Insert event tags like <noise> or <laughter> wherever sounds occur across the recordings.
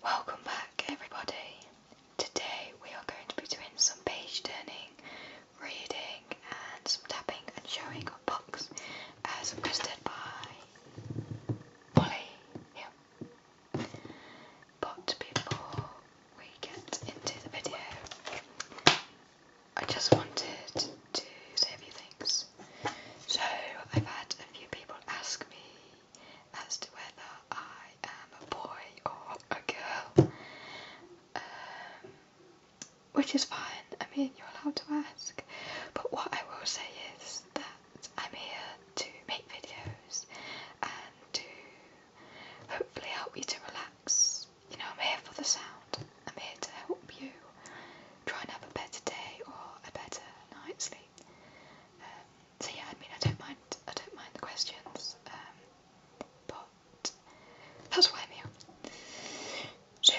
Welcome back, everybody. Today we are going to be doing some page turning, reading, and some tapping and showing of books as requested by Polly. Yeah. But before we get into the video, I just wanted to say a few things. So, I've had a few people ask me as to whether I am a boy or a girl, um, which is fine. I mean, you're allowed to ask. But what I will say is that I'm here to make videos and to hopefully help you to relax. You know, I'm here for the sound. I'm here to help you try and have a better day or a better night's sleep. Um, so yeah, I mean, I don't mind. I don't mind the questions, um, but that's why I'm here. So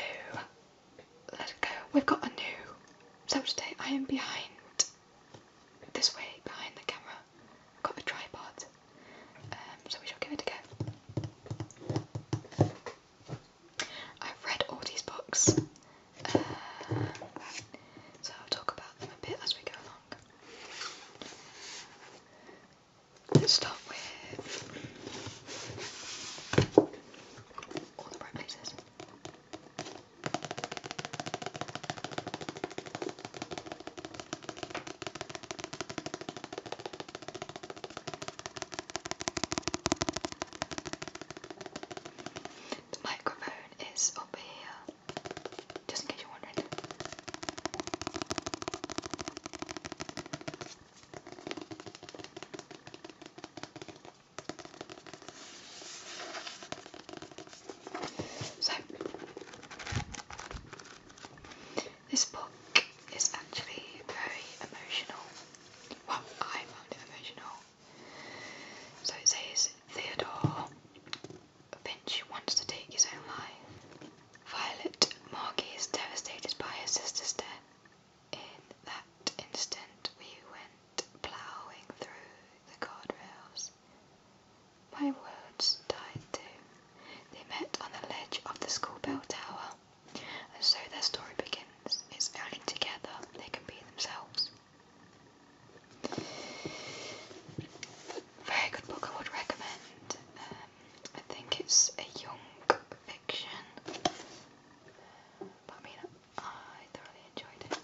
let's go. We've got a new. So today I am behind this way, behind the camera. got the tripod, um, so we shall give it a go. I've read all these books, uh, so I'll talk about them a bit as we go along. Let's start with all the right places. The microphone is up here, just in case you're wondering. So, this book is actually very emotional. Well, I found it emotional. So it says Theodore Finch wants to take his own life. Violet Margie is devastated by her sister's death. In that instant, we went ploughing through the guardrails. My words died too. They met on the ledge of the school bell tower. As so their story begins, it's only together they can be themselves. Very good book I would recommend. Um, I think it's a young fiction. But I thoroughly enjoyed it.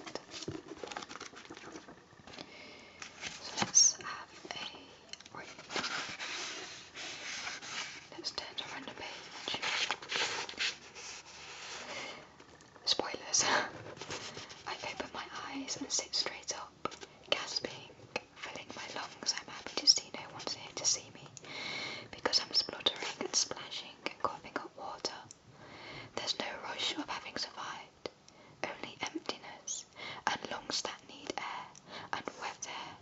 So let's have a Let's turn to random page. Spoilers. <laughs> I open my eyes and sit straight up, gasping, filling my lungs. I'm happy to see no one's here to see me because I'm spluttering and splashing and coughing up water. There's no rush of having survived, only emptiness and lungs that need air and wet air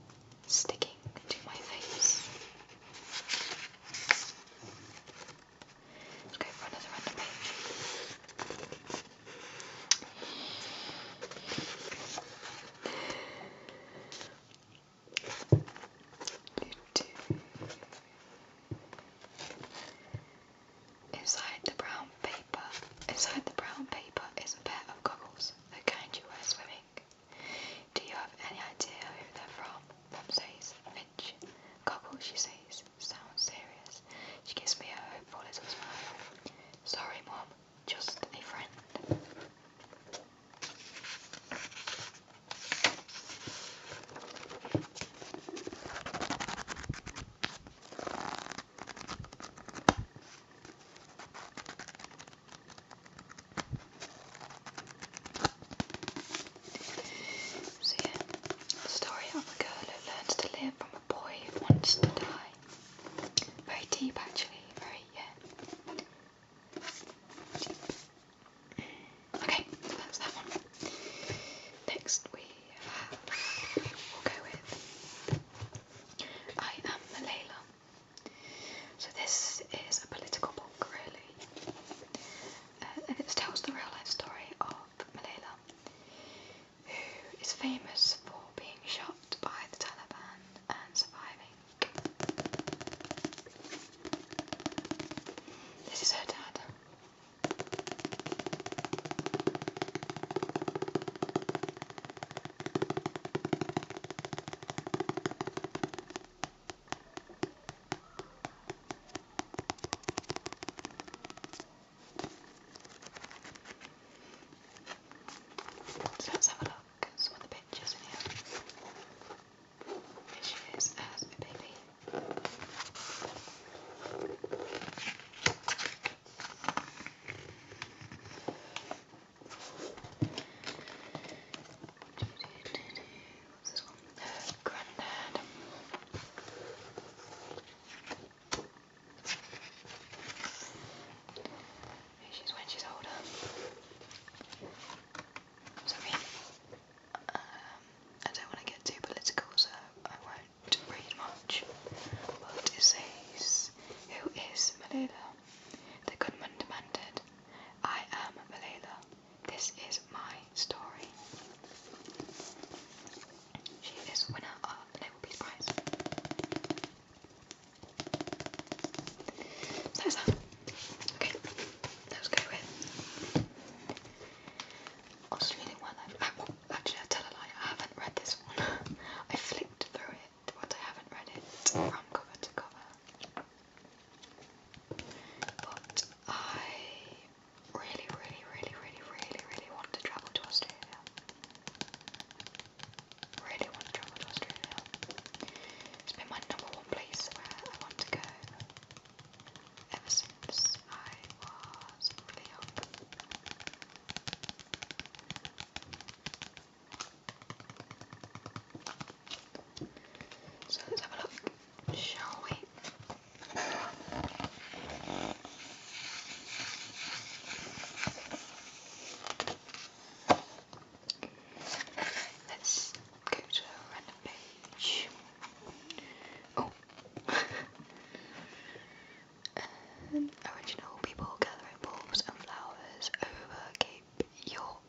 sticking to my face. let for another random page. Two. Inside the brown paper, inside the brown paper is a pair of goggles that kind you wear swimming. Do you have any idea who they're from? Pep says, Finch. Goggle, she says. Sounds serious. She gives me a hopeful little smile. Sorry, Mom. Just a friend. So yeah, story of a girl who learns to live from a boy who wants to die. Very deep actually, very, yeah. Okay, that's that one. Next we will go with I Am Layla. So this is a political book, really, uh, and it tells the real-life story of Malala, who is famous for being shot by the Taliban and surviving. This is her dad. So let's have a look at some of the pictures in here. Here she is as a baby granddad. She's when she's older. So I um, don't want to get too political, so I won't read much. But it says, "Who is Malala?" The gunman demanded. "I am Malala," This is my story. She is winner of the Nobel Peace Prize. So that. Okay, let's go with. I'll just one. I, actually, I tell a lie. I haven't read this one. <laughs> I flipped through it, but I haven't read it from cover to cover. But I really, really, really, really, really, really want to travel to Australia. Really want to travel to Australia. It's been my number one place where I want to go ever since I was really young. So let's have a look, shall we? Let's go to a random page. Oh, <laughs> um, original people gathering bulbs and flowers over Cape York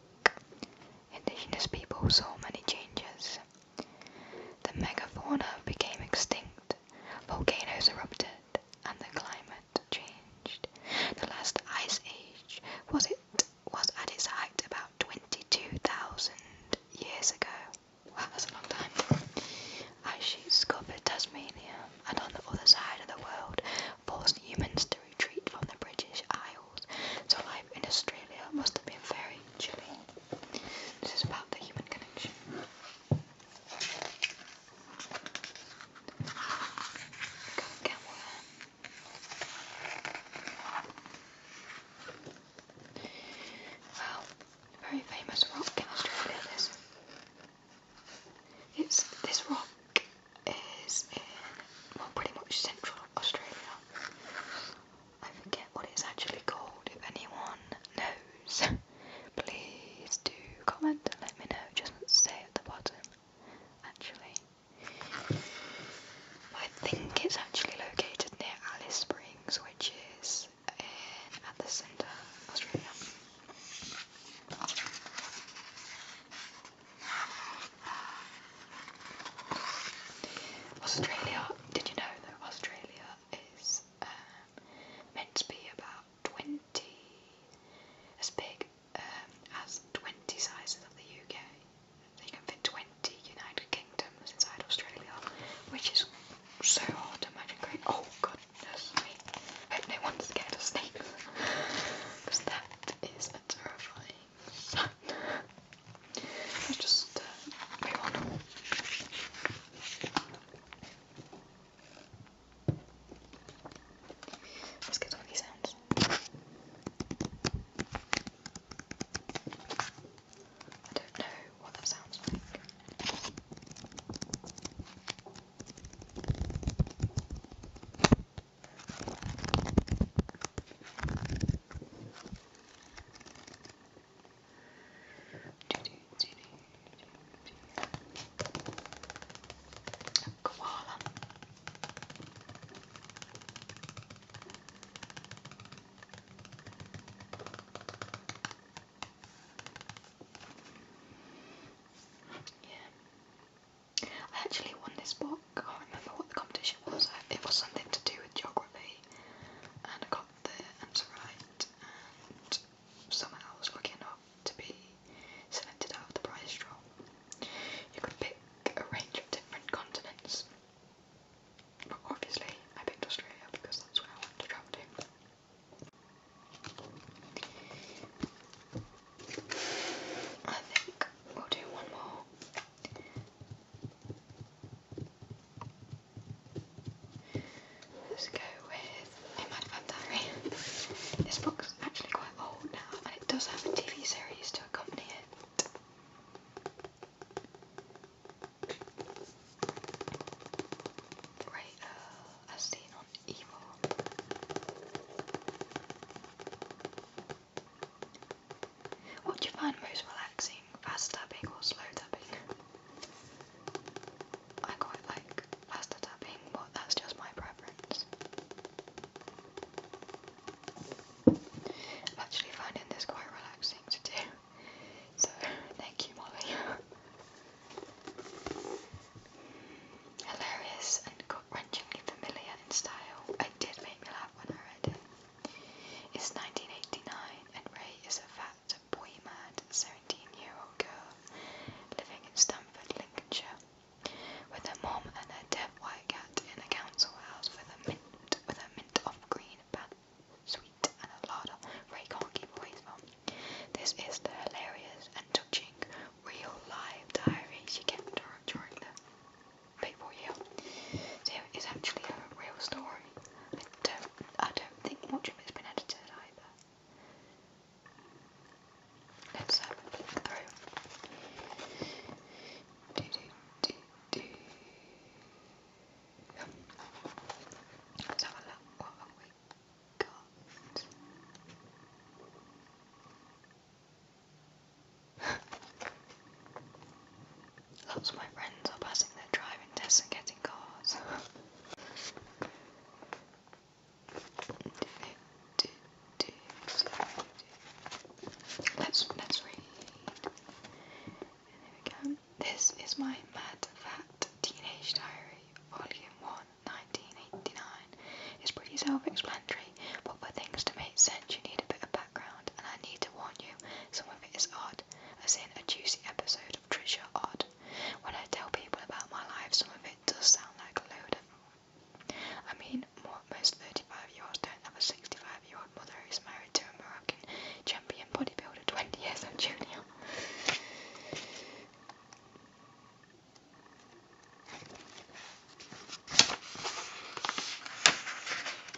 indigenous people saw many changes. The megafauna became extinct, volcanoes erupted, and the climate changed. The last ice age was at its height about 22,000 years ago. Wow, that's a long time. Ice sheets covered Tasmania, and on the other side of the world, forced humans to retreat from the British Isles so life in Australia must have been very chilly. This is about the human connection. Got a very famous rock in Australia, this. It's this rock is in well, pretty much central Australia. I forget what it's actually called. If anyone knows, <laughs> please do comment and let me know. Just say at the bottom. Actually, I think it's actually located near Alice Springs, which is in, at the centre of Australia. Australia, did you know that Australia is um, meant to be about 20, as big um, as 20 sizes of the UK? So you can fit 20 United Kingdoms inside Australia, which is so hard to imagine. Great. Oh, goodness me. I hope no one's scared of snakes. Because that is a terrifying Let's just uh, Let's get some of sounds. I don't know what that sounds like. Koala. Yeah. I actually won this book. I can't remember what the competition was. It was something to do with geography, and I got the answer right. And somehow I was lucky enough to be selected out of the prize draw. You could pick a range of different continents, but obviously I picked Australia because that's where I wanted to travel to. I think we'll do one more Let's go with Imad Bandari. This book's actually quite old now and it does have a TV series to accompany it. Great Earl, uh, as seen on Evil. What do you find most relaxing? Fast tapping or slow tapping? I quite like faster tapping, but that's just my preference. I'm actually finding this quite relaxing to do, so thank you, Molly. Hilarious and wrenchingly familiar in style. It did make me when I read it. It's 1989 and Ray is a fat, boy-mad 17-year-old girl living in Stamford, Lincolnshire, with her mom and her dead white cat in a council house with a mint with a mint of green bat sweet and a larder Ray can't keep away from. This is the hilarious and touching real life diary she kept during the people here. There is actually a real story. I don't, I don't think much of it's been edited either. Let's have a look. What have we got? Lots of my friends are passing their driving tests and getting cars. Let's let's read. There we go. This is my Mad Fat Teenage Diary, Volume 1, 1989. It's pretty self-explanatory but for things to make sense, you need a bit of background, and I need to warn you, some of it is odd, as in a juicy episode of Trisha Odd. When I tell people about my life, some of it does sound like a load of. I mean, most 35 year olds don't have a 65 year old mother who's married to a Moroccan champion bodybuilder 20 years old junior.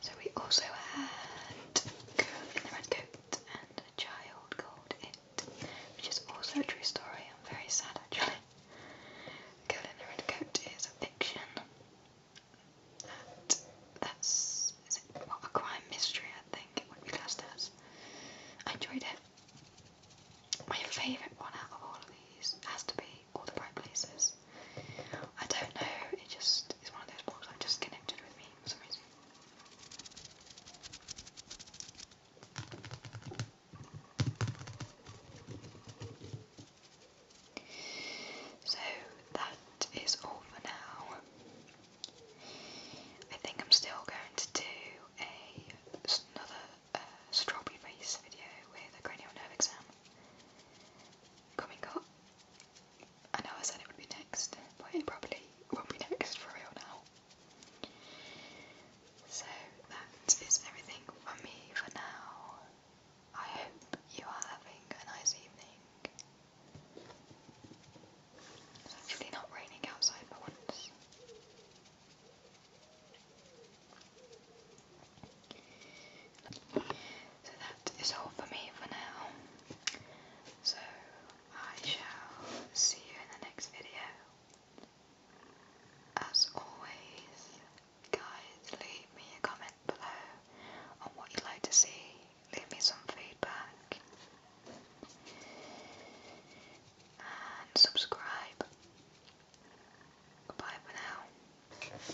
So we also had Girl in the Red Coat and a Child Called It, which is also a true story. I'm very sad actually. Girl in the Red Coat is a fiction that that's a crime mystery I think it would I enjoyed it. My favourite one out of all of these has to be All the Bright Places. I don't know, it just is one of those I'm just connected with me for some reason. So that is all for now. I think I'm still going to do another uh, strawberry face video with a cranial nerve exam coming up. I know I said it would be next, but it probably won't be next for real now. So that is everything from me for now. I hope you are having a nice evening. It's actually not raining outside for once. So that is all for me for now. So I shall see you in the next video. As always, guys, leave me a comment below on what you'd like to see. Leave me some feedback. And subscribe. Goodbye for now.